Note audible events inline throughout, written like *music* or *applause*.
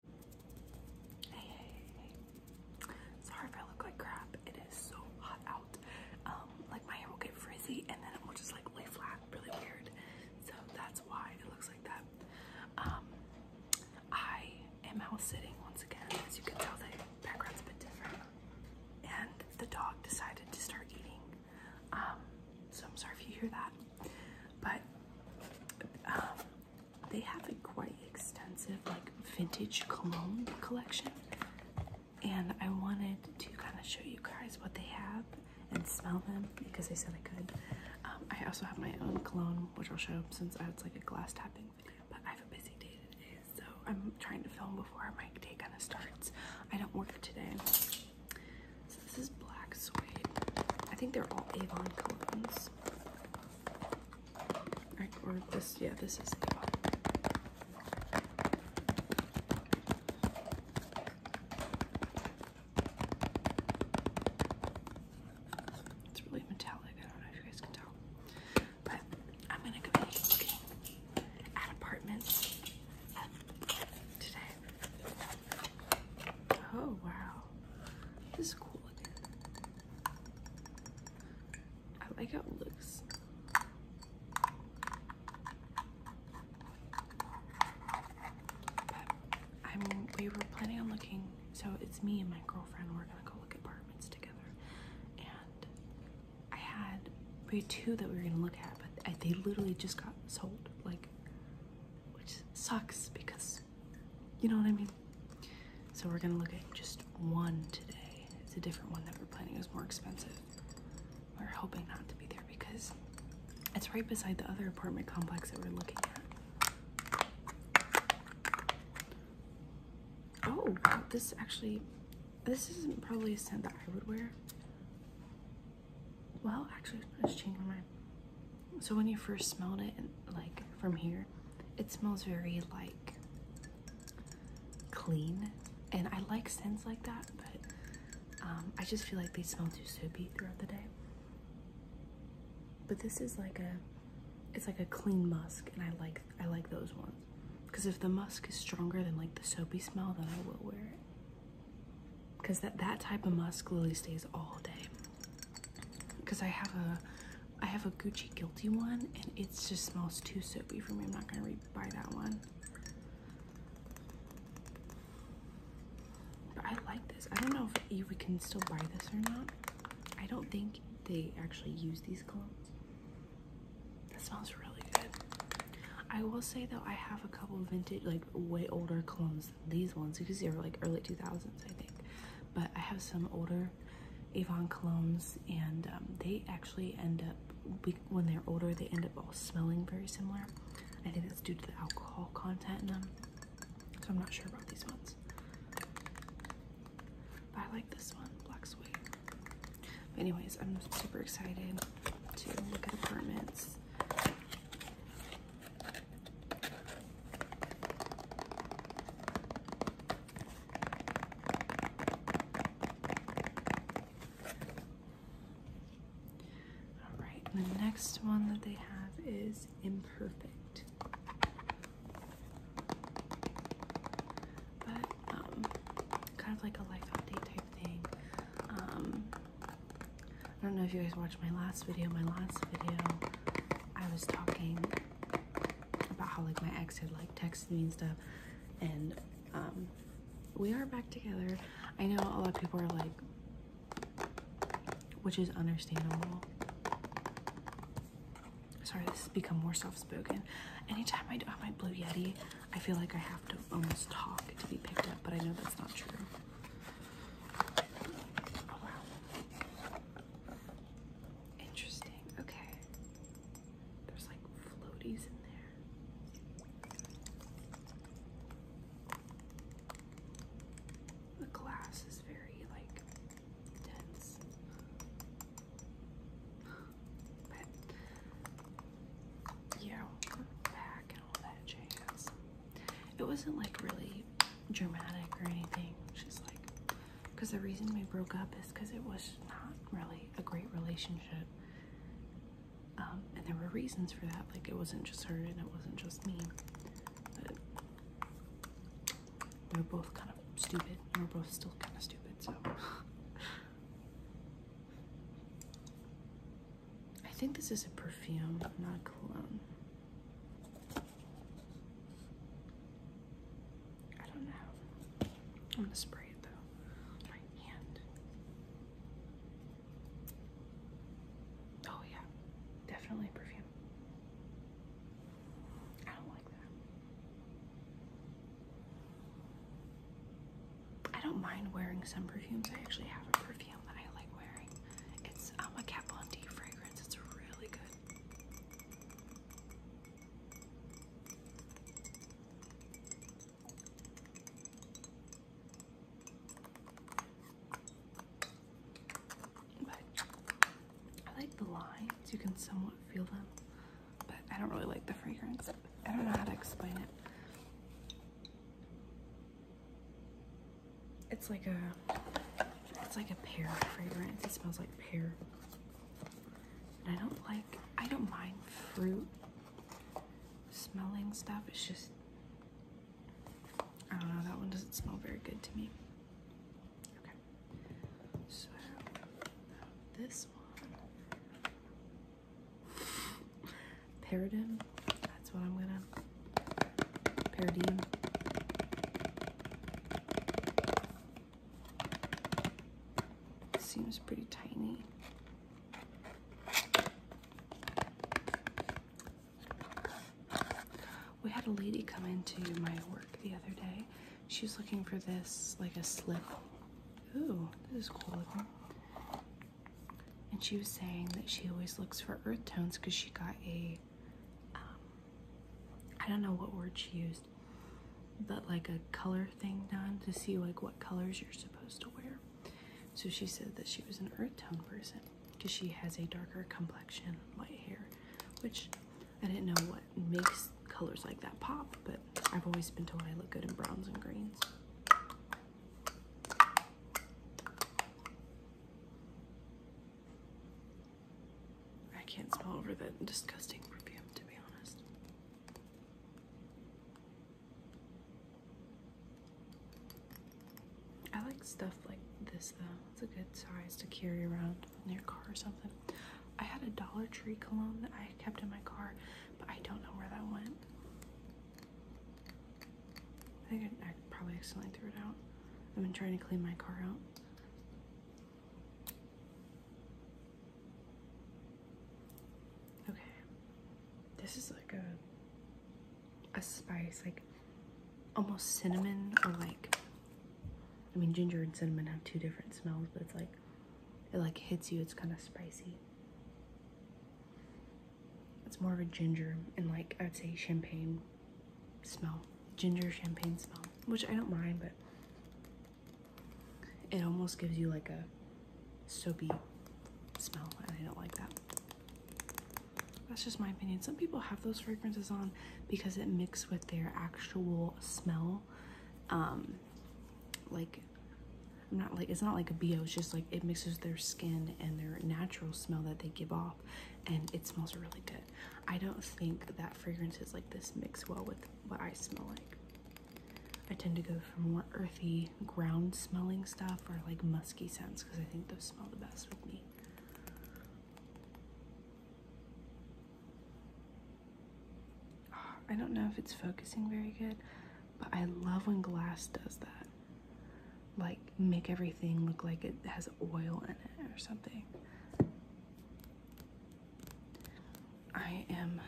Sorry if I look like crap. It is so hot out. Um, like my hair will get frizzy and then it will just like lay flat, really weird. So that's why it looks like that. Um, I am house sitting once again. As you can tell, the background's a bit different. And the dog decided to start eating. Um, so I'm sorry if you hear that. But they have a quite extensive like vintage cologne collection and I wanted to kind of show you guys what they have and smell them because they said I could. I also have my own cologne which I'll show since I was like a glass tapping video but I have a busy day today so I'm trying to film before my day kind of starts. I don't work today. So this is black suede. I think they're all Avon colognes this. Or this, yeah, this is the It's really metallic. I don't know if you guys can tell. But I'm gonna go at apartments today. Oh wow. This is cool looking. I like how it looks. i we were planning on looking, so it's me and my girlfriend, we're gonna go look at apartments together. And I had, we two that we were gonna look at, but they literally just got sold, like, which sucks because you know what I mean? So we're gonna look at just one today. It's a different one that we're planning It was more expensive. We're hoping not to be there because it's right beside the other apartment complex that we're looking at. Oh, this actually, this isn't probably a scent that I would wear well actually let's change my mind so when you first smelled it like from here it smells very like clean and i like scents like that but um, i just feel like they smell too soapy throughout the day but this is like a it's like a clean musk and i like i like those ones because if the musk is stronger than like the soapy smell then i will wear it because that that type of musk really stays all day because i have a i have a gucci guilty one and it just smells too soapy for me i'm not gonna re buy that one but i like this i don't know if we can still buy this or not i don't think they actually use these colognes that smells really good I will say though I have a couple vintage like way older colognes these ones because they are like early 2000s I think but I have some older Avon colognes and um, they actually end up when they're older they end up all smelling very similar I think that's due to the alcohol content in them so I'm not sure about these ones I like this one black suede anyways I'm super excited to look at apartments all right, the next one that they have is imperfect. But um, kind of like a life update type thing. Um, I don't know if you guys watched my last video. My last video, I was talking about how like my ex had like texted me and stuff, and um, we are back together. I know a lot of people are like, which is understandable. Sorry, this has become more soft-spoken. Anytime I do have my Blue Yeti, I feel like I have to almost talk to be picked up, but I know that's not true. Interesting. Okay. There's like floaties in there. The glass is very like dense. yeah, back and all that jazz. It wasn't like really dramatic or anything. She's like, because the reason we broke up is because it was not really a great relationship. Um, and there were reasons for that. Like, it wasn't just her and it wasn't just me. We they were both kind of stupid. And we're both still kind of stupid, so. *laughs* I think this is a perfume, not a cologne. I don't know. I'm gonna spray it though. My hand. Oh yeah, definitely perfume. I don't like that. I don't mind wearing some perfumes. I actually have a perfume that I like wearing. It's um, a Kat Von fragrance. It's really good. I like the lines. You can somewhat feel them. But I don't really like the fragrance. I don't know how to explain it. It's like a, it's like a pear fragrance. It smells like pear. I don't like, I don't mind fruit smelling stuff. It's just, I don't know, that one doesn't smell very good to me. Okay. So, this one Paradigm. That's what I'm gonna. Paradigm. Seems pretty tiny. We had a lady come into my work the other day. She was looking for this, like a slip. Ooh, this is cool looking and she was saying that she always looks for earth tones because she got ai um, don't know what word she used but like a color thing done to see like what colors you're supposed to wear so she said that she was an earth tone person because she has a darker complexion light hair which I didn't know what makes colors like that pop but I've always been told I look good in browns and greens I can't smell over that disgusting perfume, to be honest. I like stuff like this though. It's a good size to carry around in your car or something. I had a Dollar Tree cologne that I kept in my car, but I don't know where that went. I think I, probably accidentally threw it out. I've been trying to clean my car out. Okay, this is like a a spice, like almost cinnamon or like, I mean ginger and cinnamon have two different smells, but it's like, it like hits you, it's kind of spicy. It's more of a ginger and like I would say champagne smell. Ginger champagne smell, which I don't mind, but it almost gives you like a soapy smell and I don't like that. That's just my opinion. Some people have those fragrances on because it mixes with their actual smell. Um, like I'm not like it's not like a bio. it's just like it mixes their skin and their natural smell that they give off and it smells really good. I don't think that fragrance is like this mix well with what I smell like. I tend to go for more earthy ground smelling stuff or like musky scents because I think those smell the best with me. I don't know if it's focusing very good, but I love when glass does that. Like, make everything look like it has oil in it or something. I am,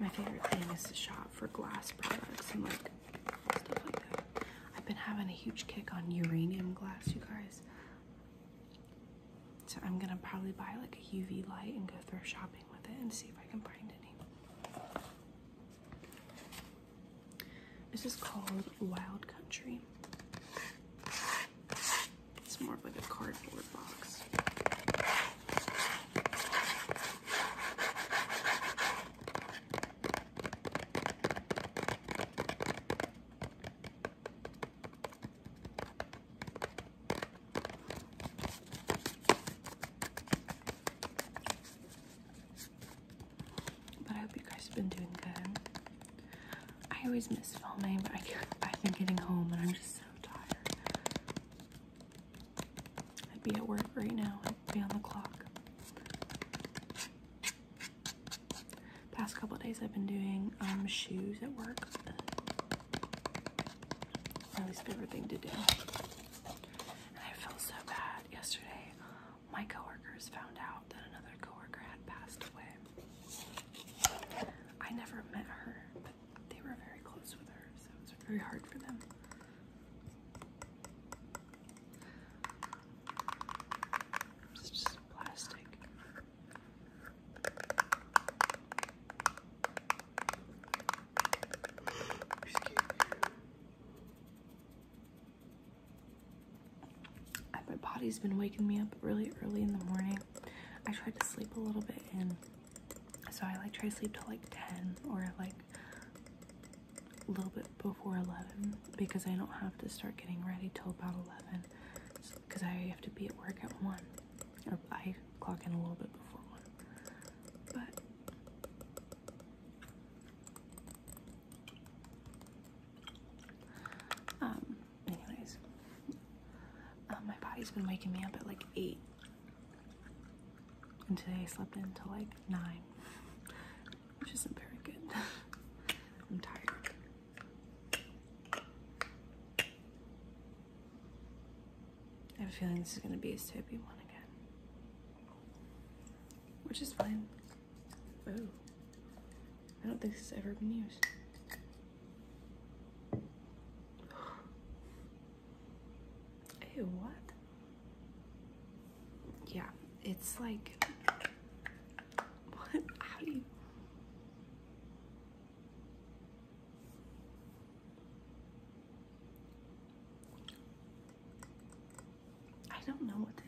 my favorite thing is to shop for glass products and like stuff like that. I've been having a huge kick on uranium glass, you guys. So I'm gonna probably buy like a UV light and go thrift shopping with it and see if I can find any. This is called Wild Country. It's more of like a cardboard box. But I hope you guys have been doing good. I always miss filming, but I can I've been getting home and I'm just so tired. I'd be at work right now. I'd be on the clock. Past couple days I've been doing um, shoes at work. Riley's favorite thing to do. I felt so bad yesterday. My coworkers found out that another coworker had passed away. I never met her, but they were very close with her, so it was very hard for them. It's just plastic. My body's been waking me up really early in the morning. I tried to sleep a little bit and so I like try to sleep till like 10 or like a little bit before 11 because I don't have to start getting ready till about 11 because I have to be at work at 1. Or I clock in a little bit before one. But um, anyways, uh, my body's been waking me up at like eight, and today I slept until like nine, which isn't very good. *laughs* I'm tired. I have a feeling this is going to be a soapy one again. Which is fine. Oh, I don't think this has ever been used. Hey, *gasps* what? Yeah, it's like, *laughs* what, how do you, I don't know what the,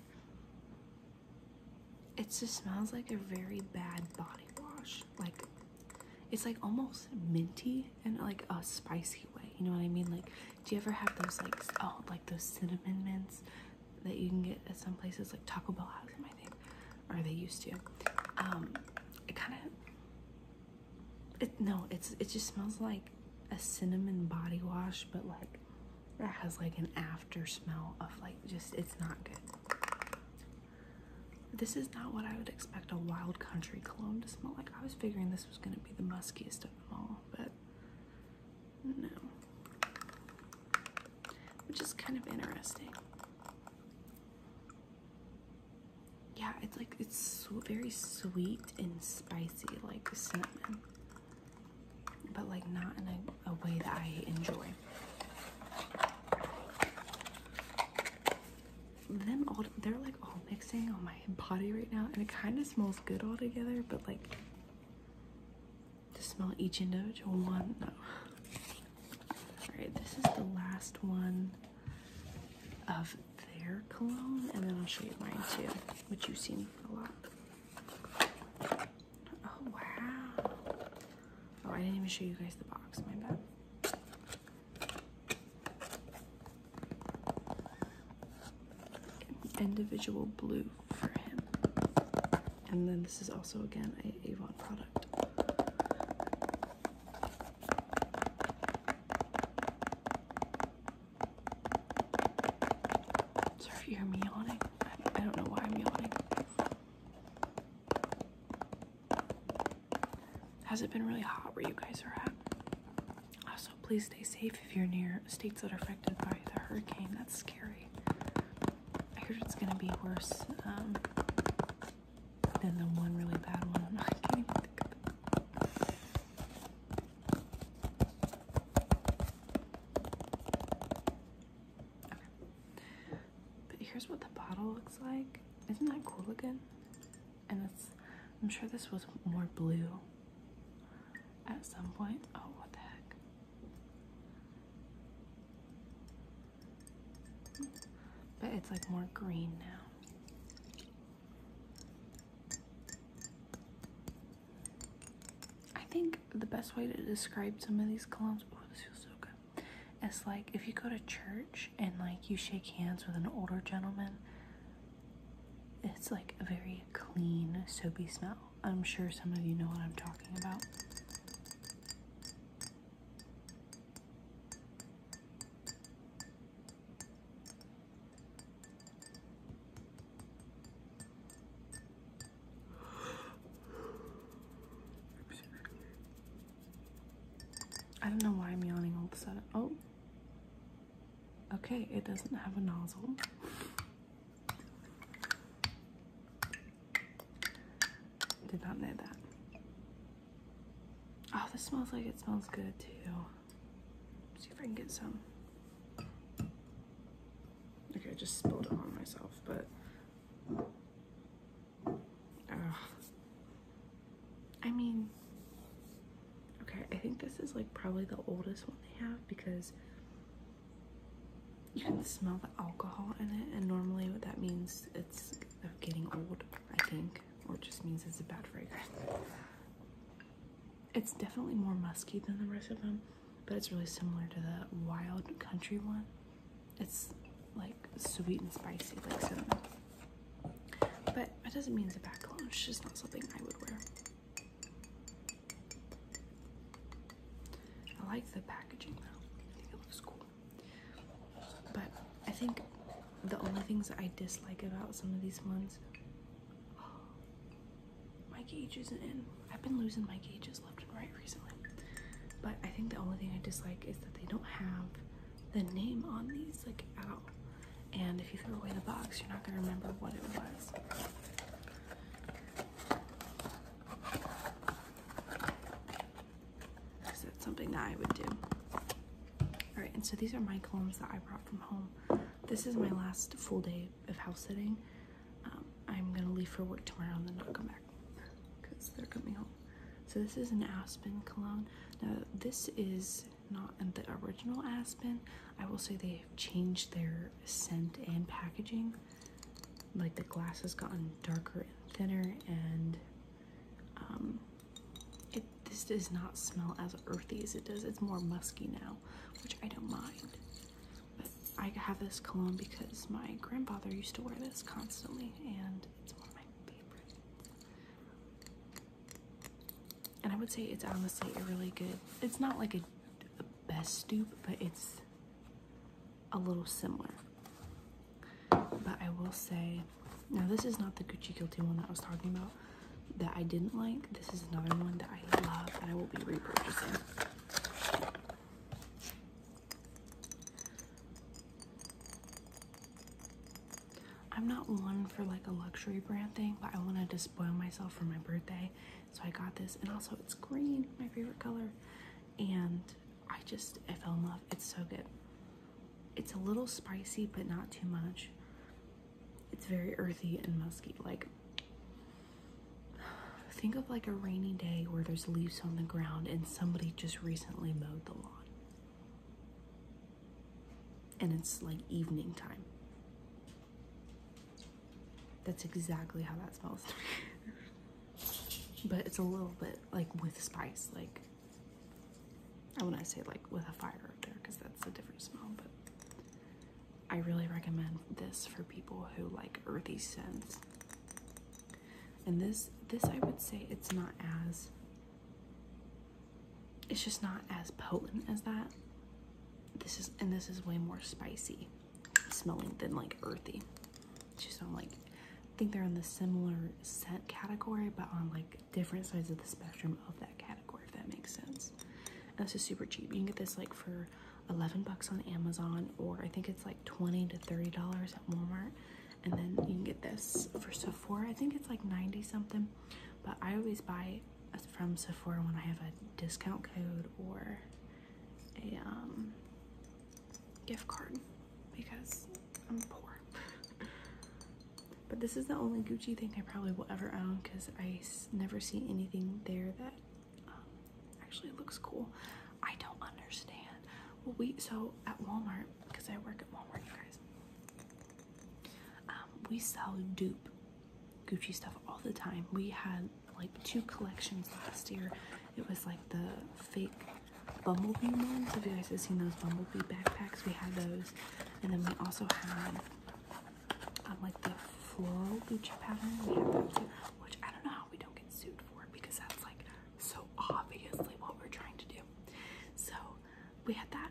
it just smells like a very bad body wash. Like it's like almost minty and like a spicy way. You know what I mean? Like do you ever have those like oh like those cinnamon mints that you can get at some places like Taco Bell has them I think or they used to. Um, it kind of, it, no, it's it just smells like a cinnamon body wash, but like it has like an after smell of like just it's not good. This is not what I would expect a wild country cologne to smell like. I was figuring this was gonna be the muskiest of them all, but no which is kind of interesting. Yeah, it's like it's so very sweet and spicy, like cinnamon, but like not in a way that I enjoy. Them all they're like all mixing on my body right now, and it kind of smells good all together, but like to smell each individual one. Alright, this is the last one of their cologne, and then I'll show you mine too, which you've seen a lot. Oh, wow. Oh, I didn't even show you guys the box, my bad. Individual blue for him. And then this is also again a Avon product. Sorry you hear me yawning. I don't know why I'm yawning. Has it been really hot where you guys are at? Also, please stay safe if you're near states that are affected by the hurricane. That's scary. I heard it's gonna be worse um, than the one really bad one. *laughs* But here's what the bottle looks like. Isn't that cool again? And it's, I'm sure this was more blue at some point. Oh, what the heck? But it's like more green now. I think the best way to describe some of these columns, oh, this feels so good, It's like if you go to church and like you shake hands with an older gentleman, it's like a very clean, soapy smell. I'm sure some of you know what I'm talking about. I don't know why I'm yawning all of a sudden. Oh, okay, it doesn't have a nozzle. Did not know that. Oh, this smells like it smells good too. see if I can get some. Okay, I just spilled it on myself, but. I mean, okay, I think this is like probably the oldest one they have because you can smell the alcohol in it, and normally what that means it's of getting old, I think, or it just means it's a bad fragrance. It's definitely more musky than the rest of them, but it's really similar to the wild country one. It's like sweet and spicy, like cinnamon. But that doesn't mean it's a bad cologne. It's just not something I would wear. I like the packaging though. I think it looks cool. But I think the only things I dislike about some of these ones *gasps* my cage isn't in. I've been losing my cages left and right recently. But I think the only thing I dislike is that they don't have the name on these like at all. And if you throw away the box, you're not gonna remember what it was. Because that's something that I would do. All right, and so these are my combs that I brought from home. This is my last full day of house sitting. Um, I'm gonna leave for work tomorrow and then not come back because they're coming home. So this is an Aspen cologne. Now this is not the original Aspen. I will say they have changed their scent and packaging like the glass has gotten darker and thinner and um, this does not smell as earthy as it does it's more musky now which I don't mind but I have this cologne because my grandfather used to wear this constantly and it's one of my favorites and I would say it's honestly a really good it's not like a best stoop, but it's a little similar. But I will say, now this is not the Gucci Guilty one that I was talking about that I didn't like. This is another one that I love that I will be repurchasing. I'm not one for like a luxury brand thing, but I want to despoil myself for my birthday so I got this, and also it's green, my favorite color. And I just, I fell in love. It's so good. It's a little spicy, but not too much. It's very earthy and musky. Like, think of like a rainy day where there's leaves on the ground and somebody just recently mowed the lawn. And it's like evening time. That's exactly how that smells. but it's a little bit like with spice, like I want to say like with a fire up there because that's a different smell, but I really recommend this for people who like earthy scents. And this this I would say it's not as it's just not as potent as that. This is, and this is way more spicy smelling than like earthy. Just on like, I think they're in the similar scent category, but on like different sides of the spectrum of that category, if that makes sense. And this is super cheap. You can get this like for 11 bucks on Amazon, or I think it's like 20 to $30 at Walmart. And then you can get this for Sephora. I think it's like 90 something, but I always buy from Sephora when I have a discount code or a um, gift card because I'm poor. but this is the only Gucci thing I probably will ever own because I never see anything there that um, actually looks cool. I don't understand. Well, we so at Walmart because I work at Walmart, you guys. Um, we sell dupe Gucci stuff all the time. We had like two collections last year. It was like the fake bumblebee ones. If you guys have seen those bumblebee backpacks, we had those. And then we also had um, like the flow Gucci pattern. We had that too, which I don't know how we don't get sued for because that's like so obviously what we're trying to do. So we had that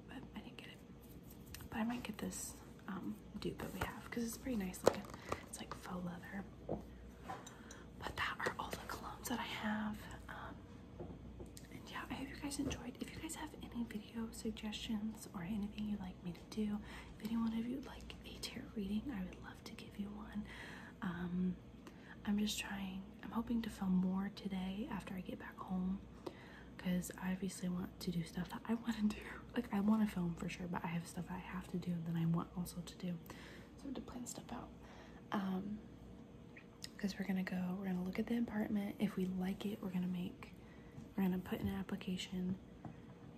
but I didn't get it. But I might get this um, dupe that we have because it's pretty nice looking. It's like faux leather. But that are all the colognes that I have. Um, and yeah, I hope you guys enjoyed. If you guys have any video suggestions or anything you'd like me to do, if any one of you would like a tarot reading, I would love to give you one. Um, I'm just trying, I'm hoping to film more today after I get back home because I obviously want to do stuff that I want to do. Like, I want to film for sure, but I have stuff I have to do that I want also to do. So to plan stuff out. Um, because we're gonna go, we're gonna look at the apartment. If we like it, we're gonna make, we're gonna put an application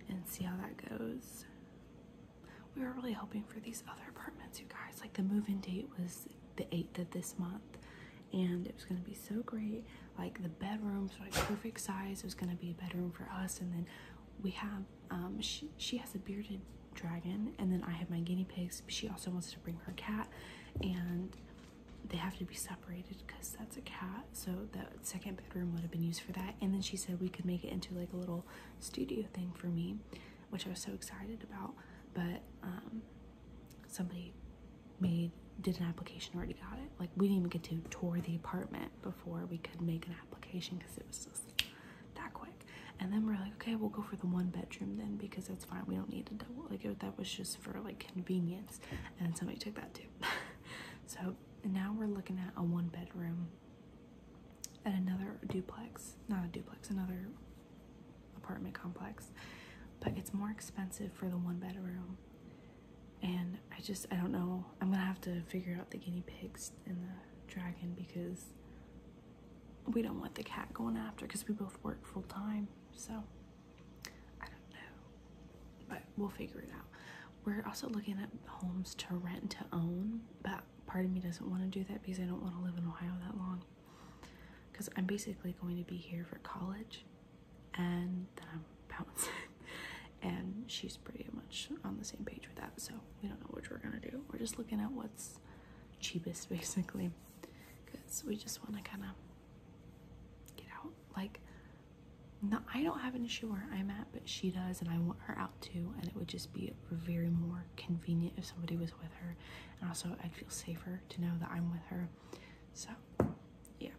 and see how that goes. We were really hoping for these other apartments, you guys. Like, the move-in date was the 8th of this month and it was going to be so great like the bedroom, were like perfect size it was going to be a bedroom for us and then we have um she, she has a bearded dragon and then i have my guinea pigs she also wants to bring her cat and they have to be separated because that's a cat so the second bedroom would have been used for that and then she said we could make it into like a little studio thing for me which i was so excited about but um somebody made did an application already got it like we didn't even get to tour the apartment before we could make an application because it was so that quick and then we're like okay we'll go for the one bedroom then because that's fine we don't need to double like it, that was just for like convenience and somebody took that too *laughs* so now we're looking at a one bedroom and another duplex not a duplex another apartment complex, but it's more expensive for the one bedroom. And I just, I don't know. I'm gonna have to figure out the guinea pigs and the dragon because we don't want the cat going after because we both work full time. So I don't know, but we'll figure it out. We're also looking at homes to rent to own, but part of me doesn't want to do that because I don't want to live in Ohio that long because I'm basically going to be here for college and then I'm bouncing. *laughs* and she's pretty much on the same page with that, so we don't know what we're gonna do. We're just looking at what's cheapest *laughs* basically because we just want to kind of get out. Like, not, I don't have an issue where I'm at, but she does, and I want her out too. And it would just be very more convenient if somebody was with her also I would feel safer to know that I'm with her. So yeah,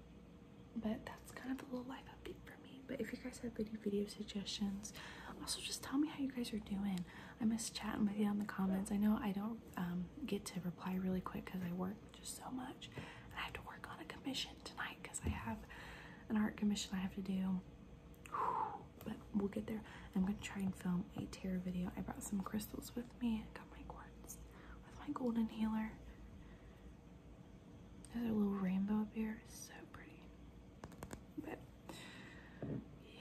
but that's kind of a little life update for me. But if you guys have any video suggestions, also just tell me how you guys are doing. I miss chatting with you on the comments. I know I don't um, get to reply really quick because I work just so much, I have to work on a commission tonight because I have an art commission I have to do but we'll get there. I'm gonna try and film a tarot video. I brought some crystals with me. I got my quartz with my golden healer. There's a little rainbow up here, so pretty. But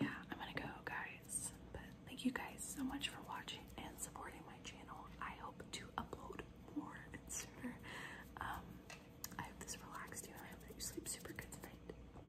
yeah, I'm gonna go, guys. But thank you guys so much for watching and supporting my channel. I hope to upload more and sooner. Um, I hope this relaxes you, and I hope that you sleep super good tonight.